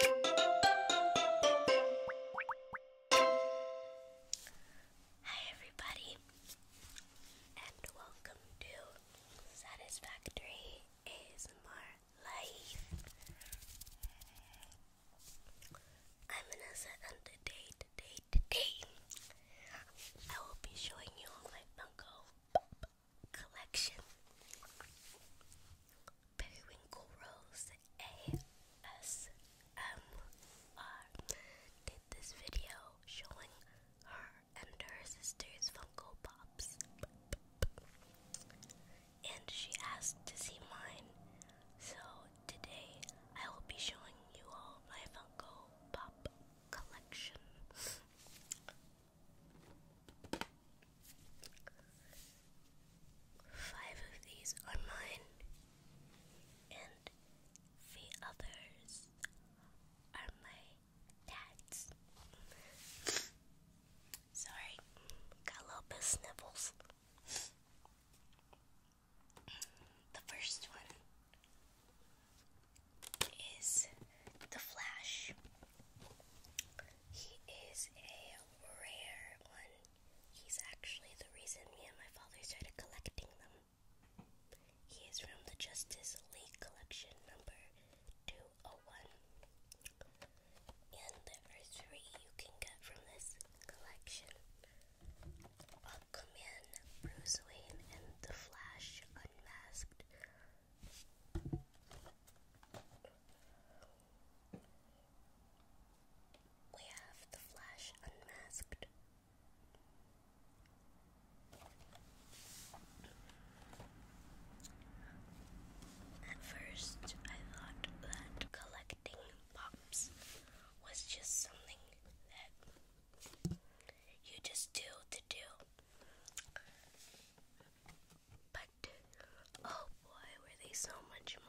Hi, everybody, and welcome to Satisfactory ASMR Life. I'm innocent and today, today, today, I will be showing you my Funko collection. Periwinkle Rose ASMR did this video showing her and her sister's Funko Pops. And she asked to see mine. So today I will be showing you all my Funko Pop collection. Five of these are mine, and the others are my dad's. Sorry, got a little bit of The first one is the Flash. He is a rare one. He's actually the reason me and my father started collecting them. He is from the Justice League collection number 201. And there are three you can get from this collection. Aquaman, Bruce Wayne, and The Flash Unmasked. We have the Flash unmasked. At first, I thought that collecting pops was just something that you just do to do. But Oh boy, were they so much more.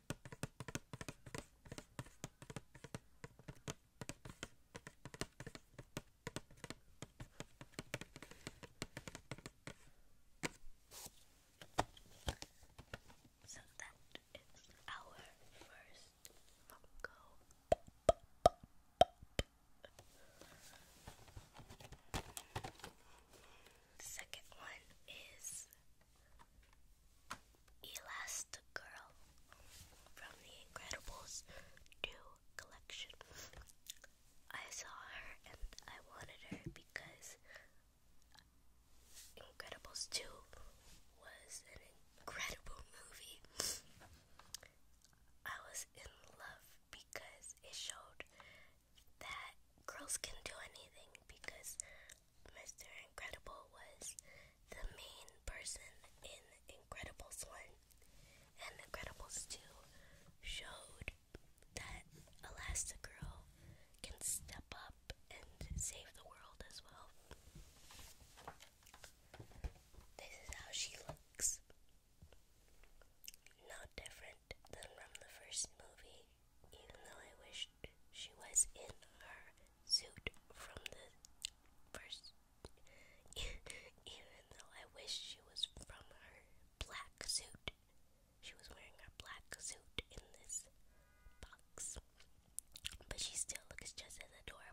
So that is our first Funko. Second one is Elastigirl from The Incredibles 2 collection. I saw her and I wanted her because Incredibles 2 was an incredible movie. I was in love because it showed that girls can do anything because Mr. Incredible was the main person in Incredibles 1 and Incredibles 2 showed that Elastigirl can step up and save the world as well. This is how she looks. Not different than from the first movie even though I wished she was in her suit from the first. even though I wished she was from her black suit. She was wearing her black suit in this box. But she still looks just as adorable.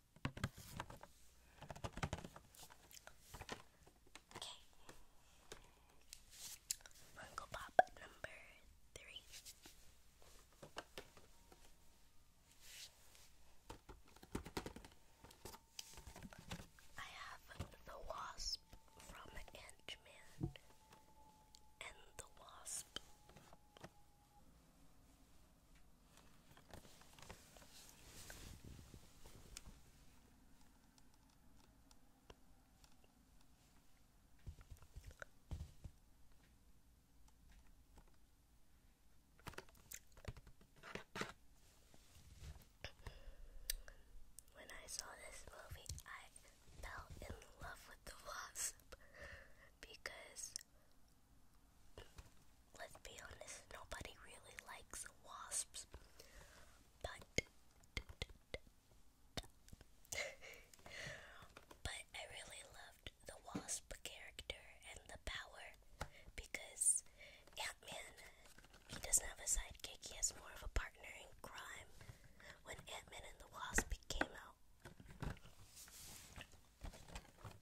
Okay. Uncle number three. I have the wasp from Ant-Man and the wasp when I saw this movie, I fell in love with the wasp because Let's be honest, nobody really likes wasps, but but I really loved the wasp character and the power because Ant Man he doesn't have a sidekick, he has more of a partner in crime. When Ant Man and the Wasp came out.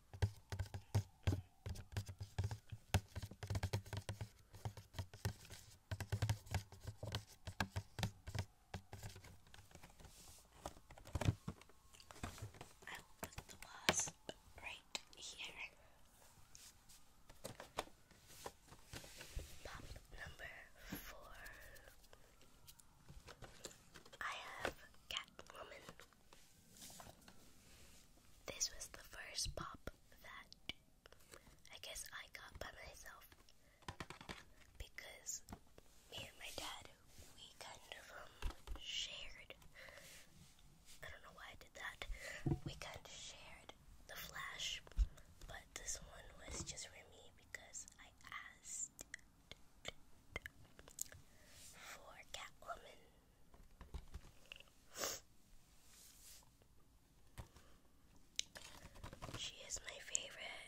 I will put the wasp right here. Pop number four. I have Catwoman this was the first pop that I guess I got by myself because me and my dad we kind of um, shared I don't know why I did that. We kind of shared the flash, but this one was just for me because I asked for Catwoman she is my favorite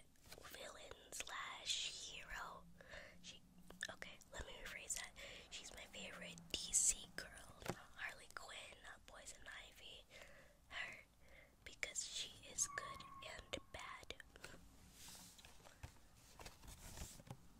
villain slash hero. She okay, let me rephrase that. She's my favorite DC girl, Harley Quinn, not Poison Ivy. Her because she is good and bad.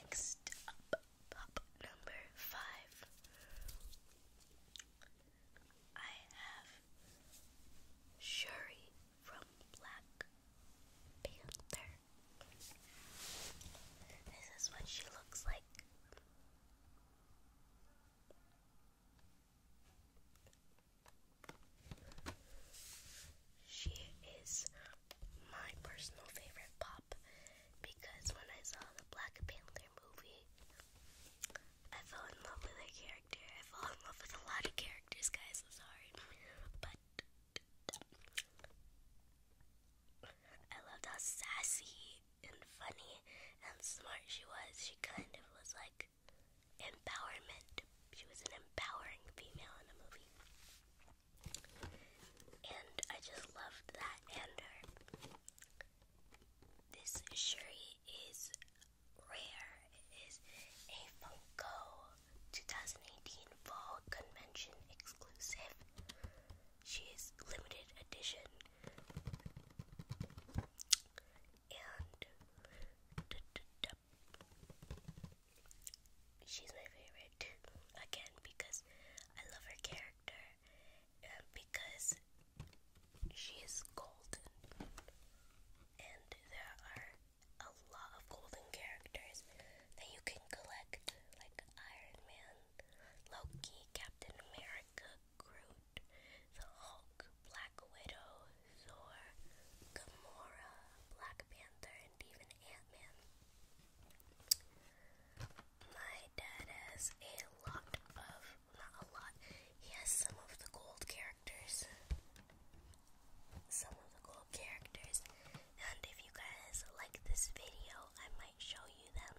Next up, pop number five. I have Shuri from Black Panther. This is what she looks like. She is my personal favorite pop because when I saw the Black Panther movie, I fell in love with her character. I fell in love with a lot of characters, guys. I'm sorry. But I loved how sassy and funny and smart she was. She kind of was like empowerment. She was an empowering female in a movie. And I just loved that and This Shuri is rare. It is a Funko 2018 Fall Convention exclusive. She is limited edition and she's my favorite again because I love her character and because she's golden and there are a lot of golden characters that you can collect like Iron Man, Loki, Captain America, Groot, the Hulk, Black Widow, Thor, Gamora, Black Panther, and even Ant-Man. My dad has a lot of, not a lot, he has some of the gold characters. Some of the gold characters. And if you guys like this video, I might show you them.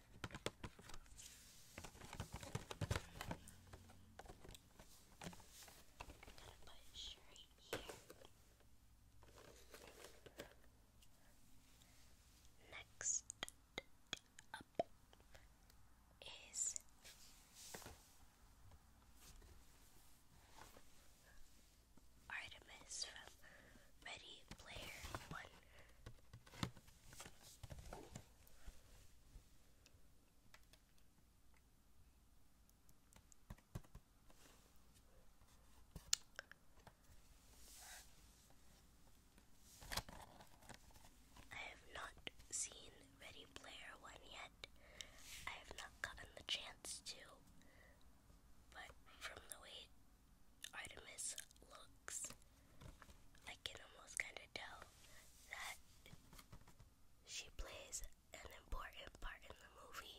I'm Next up is Artemis from Ready Player One. I have not seen Ready Player One yet. I have not gotten the chance to, but from the way Artemis looks, I can almost kind of tell that she plays an important part in the movie.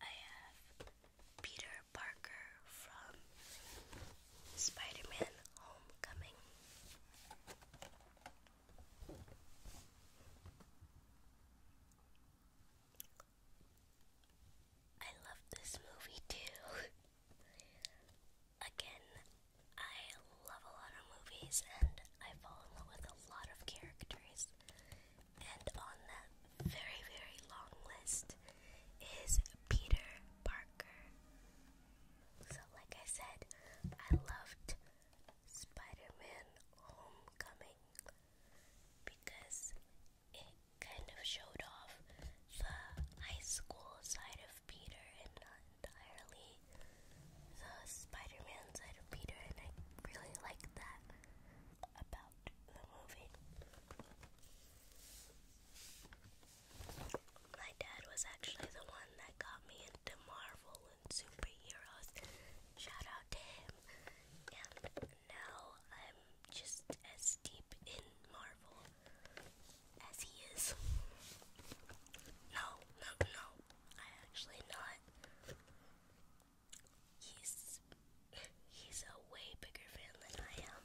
I have Peter Parker from Spider Man Homecoming. I love this movie too. Again, I love a lot of movies and I fall in love with a lot of characters. And on that very, very long list is Peter Parker. So, like I said, I loved Spider Man Homecoming because it kind of showed off the high school side of Peter and not entirely the Spider-Man side of Peter, and I really like that about the movie. My dad was actually the one that got me into Marvel and superheroes. Shout out to him. And now I'm just as deep in Marvel as he is. No, no, no. I actually not. He's he's a way bigger fan than I am.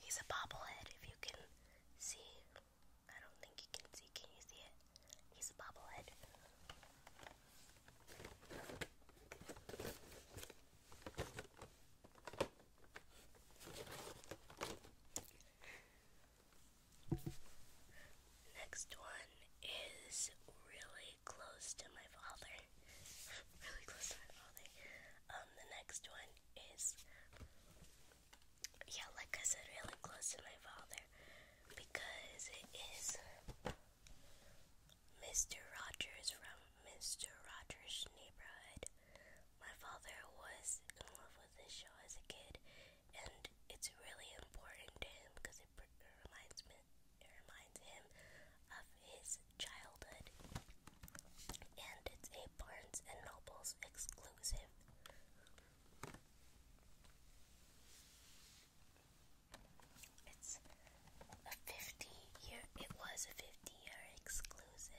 he's a bobblehead if you can see. I don't think you can see. Can you see it? He's a bobblehead. Next one is really close to my father. really close to my father. Um, the next one is, yeah, like I said, really close to my father because it is Mr. Rogers from Mr. Rogers' Neighborhood. My father was in love with this show as a kid, and it's really important to him because it reminds me, it reminds him of his childhood. And it's a Barnes and Noble's exclusive. It's a 50 year, it was a 50 year exclusive.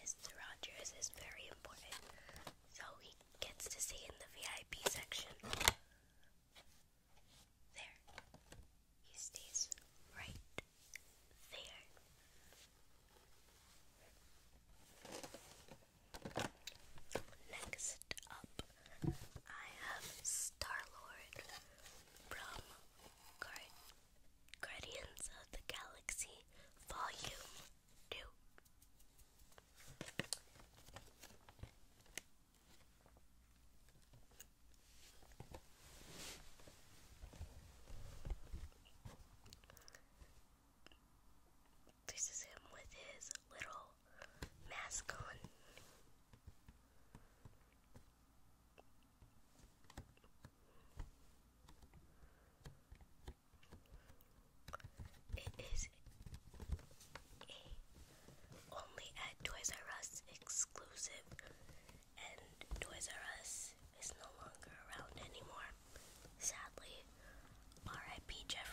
Mr. Rogers is very important, so he gets to stay in the VIP section. There. He stays right there. Next up, I have Star Lord from Guardians of the Galaxy Volume 2. This is him with his little mask on. It is a only at Toys R Us exclusive and Toys R Us is no longer around anymore. Sadly, R.I.P. Jeffrey.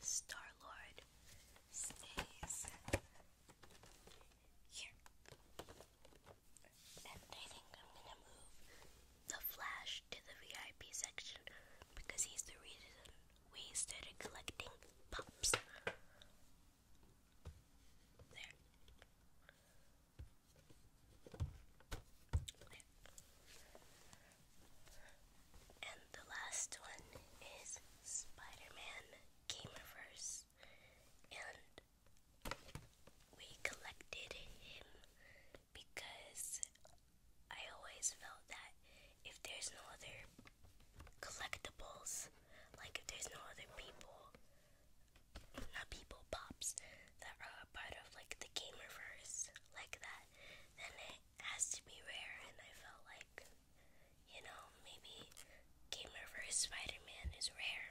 Star Lord stays here. And I think I'm gonna move the Flash to the VIP section because he's the reason we started collecting pops. And the last one is Spider-Man Gamerverse. And we collected him because I always felt that if there's no other collectibles. Like there's no other people, not uh, people pops that are part of like the gamerverse like that, then it has to be rare. And I felt like, you know, maybe gamerverse Spider-Man is rare.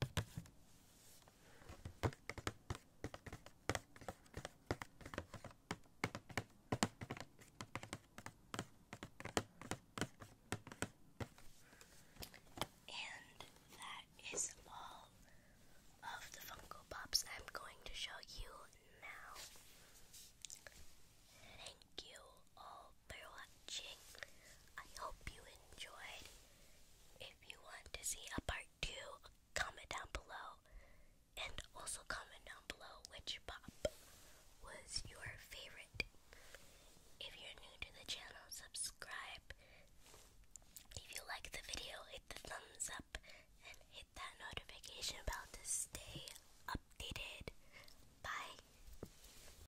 And that is all of the Funko Pops I'm going to show you now. Thank you all for watching. I hope you enjoyed. If you want to see a part 2, comment down below. And also comment down below which pop was your favorite. If you're new to the channel, subscribe. If you like the video, hit the thumbs up and hit that notification bell to stay updated. Bye.